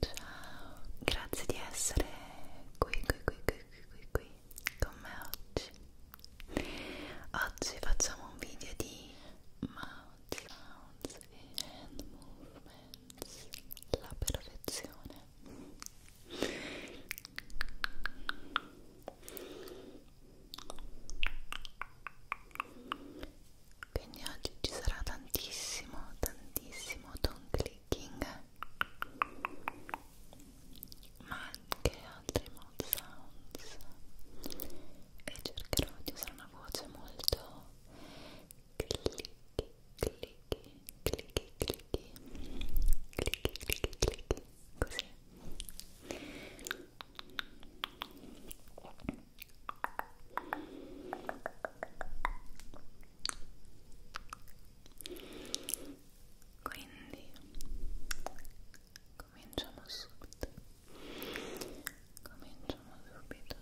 Ciao, grazie di essere qui, qui, qui, qui, qui, qui, con me oggi. Oggi facciamo un video di mouth sounds e hand movements, la perfezione quindi oggi ci sarà tantissimo tantissimo tone clicking ma anche altri mouth sounds e cercherò di usare una voce molto clicchi clicchi clicchi clicchi clicchi clicchi clicchi così quindi cominciamo subito cominciamo subito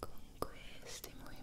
con questi movimenti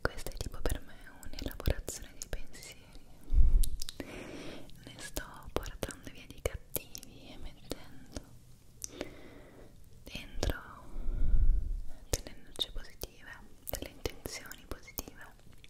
Questa è tipo per me un'elaborazione di pensieri. Ne sto portando via di cattivi e mettendo dentro tenendoci positive, delle intenzioni positive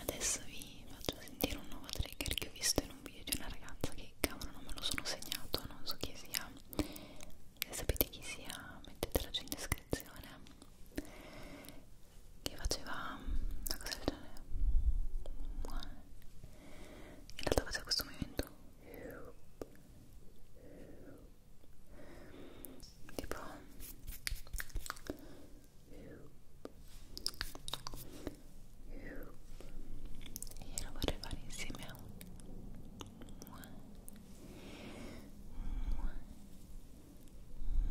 Adesso vi faccio sentire un nuovo trigger che ho visto in un video di una ragazza che cavolo non me lo sono segnato, non so chi sia. Se sapete chi sia mettetela giù in descrizione. Che faceva una cosa del genere in realtà faccio questo movimento tipo e lo vorrei fare insieme a un mua, mua,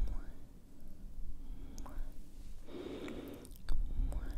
mua, mua, mua,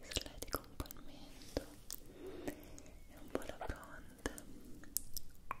Disletico un po' il mento e un po' la fronte. Ecco.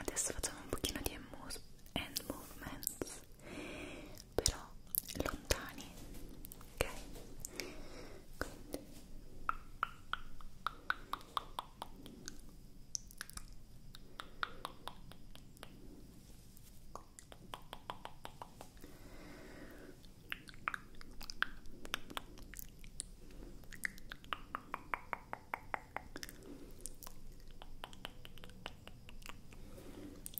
Adesso facciamo un pochino di hand movements però lontani ok quindi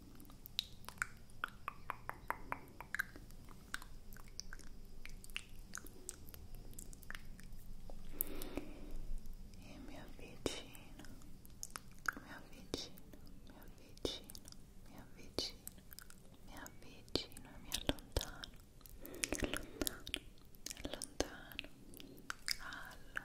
e mi avvicino, mi avvicino, mi avvicino, mi avvicino, mi avvicino e mi allontano, allontano, allontano, allontano,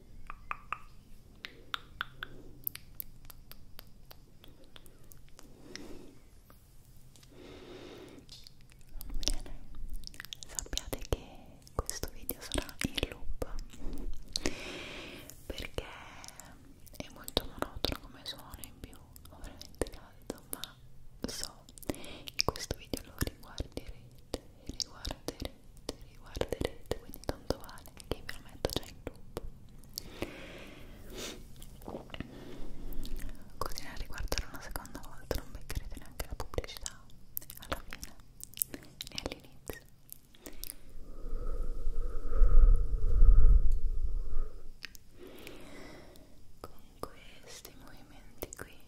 Bene, sappiate che questo video sarà in loop perché è molto monotono come suono in più, ho veramente caldo, ma so che questo video lo riguarderete riguarderete, riguarderete, quindi tanto vale che ve lo metto già in loop. Così nel riguardo una seconda volta non beccherete neanche la pubblicità alla fine né all'inizio. Con questi movimenti qui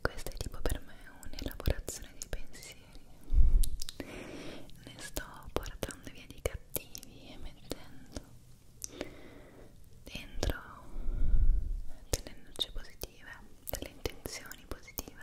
Questo è tipo per me un'elaborazione di pensieri. Ne sto portando via di cattivi e mettendo dentro delle luci positive, delle intenzioni positive.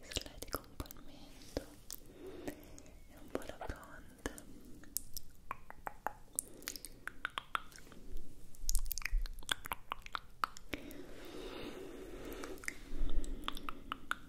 Disledico un po' il mento e un po' la fronte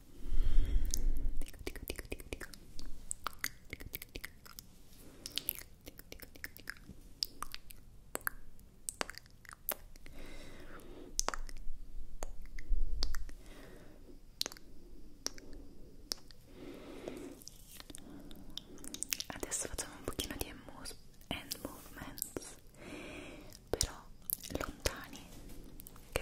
dico dico dico dico dico dico dico dico dico dico dico dico Adesso facciamo un pochino di hand movements, però lontani, ok?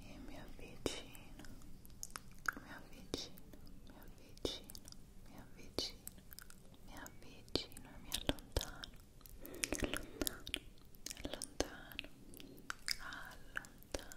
e mi avvicino, mi avvicino, mi avvicino, mi avvicino, mi avvicino e mi allontano, allontano, allontano, allontano, allontano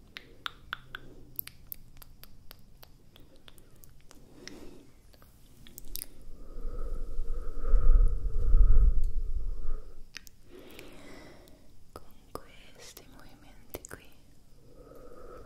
con questi movimenti qui Ora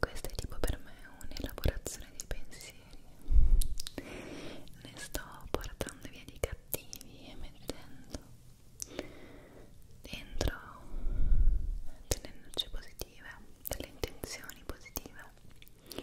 Questo è tipo per me un'elaborazione di pensieri serie ne sto portando via di cattivi e mettendo dentro delle energie positive delle intenzioni positive e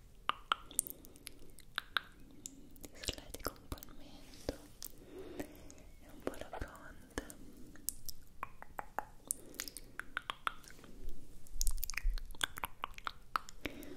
Solletico un po' il mento e un po' la fronte Ecco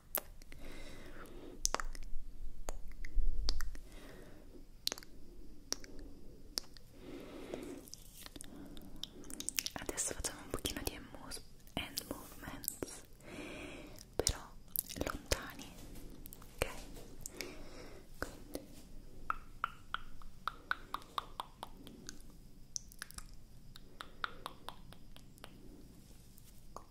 Adesso facciamo un pochino di hand movements, però lontani, ok? Quindi. Okay.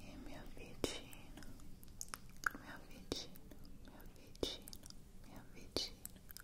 E é meu vicino, meu vicino, meu vicino, meu vicino.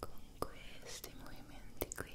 con questi movimenti qui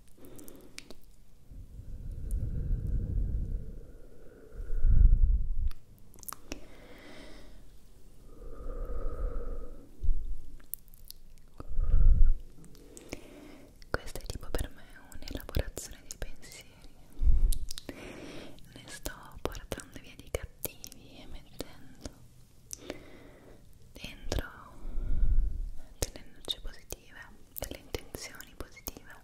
Questa è tipo per me un'elaborazione di pensieri. Ne sto portando via di cattivi e mettendo dentro delle luci positive, delle intenzioni positive.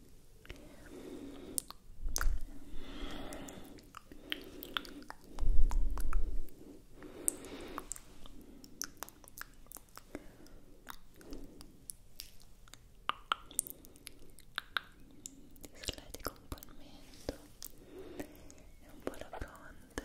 Ti con un po' il mento e un po' la fronte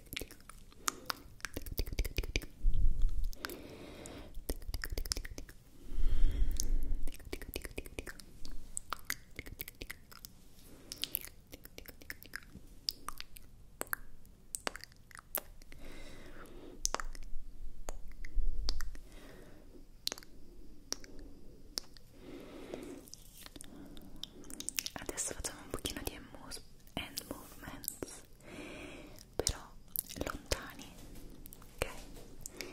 Adesso facciamo un pochino di hand movements però lontani ok quindi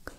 ok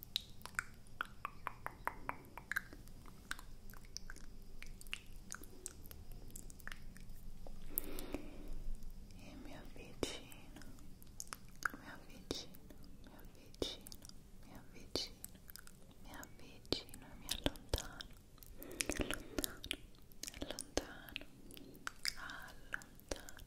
E mi avvicino, mi avvicino, mi avvicino, mi avvicino, mi avvicino, mi allontano, allontano, allontano,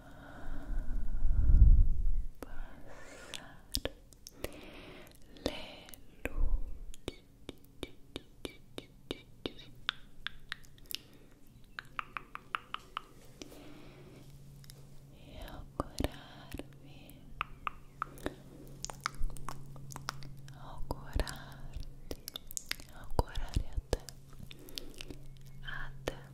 passare le luci e augurarvi augurarti augurare a te a te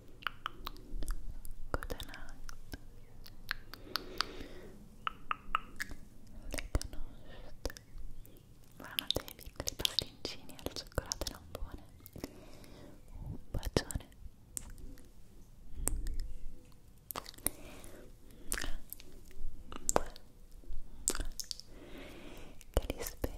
David, i pasticcini al cioccolato non buone. Un bacione. Che li spero.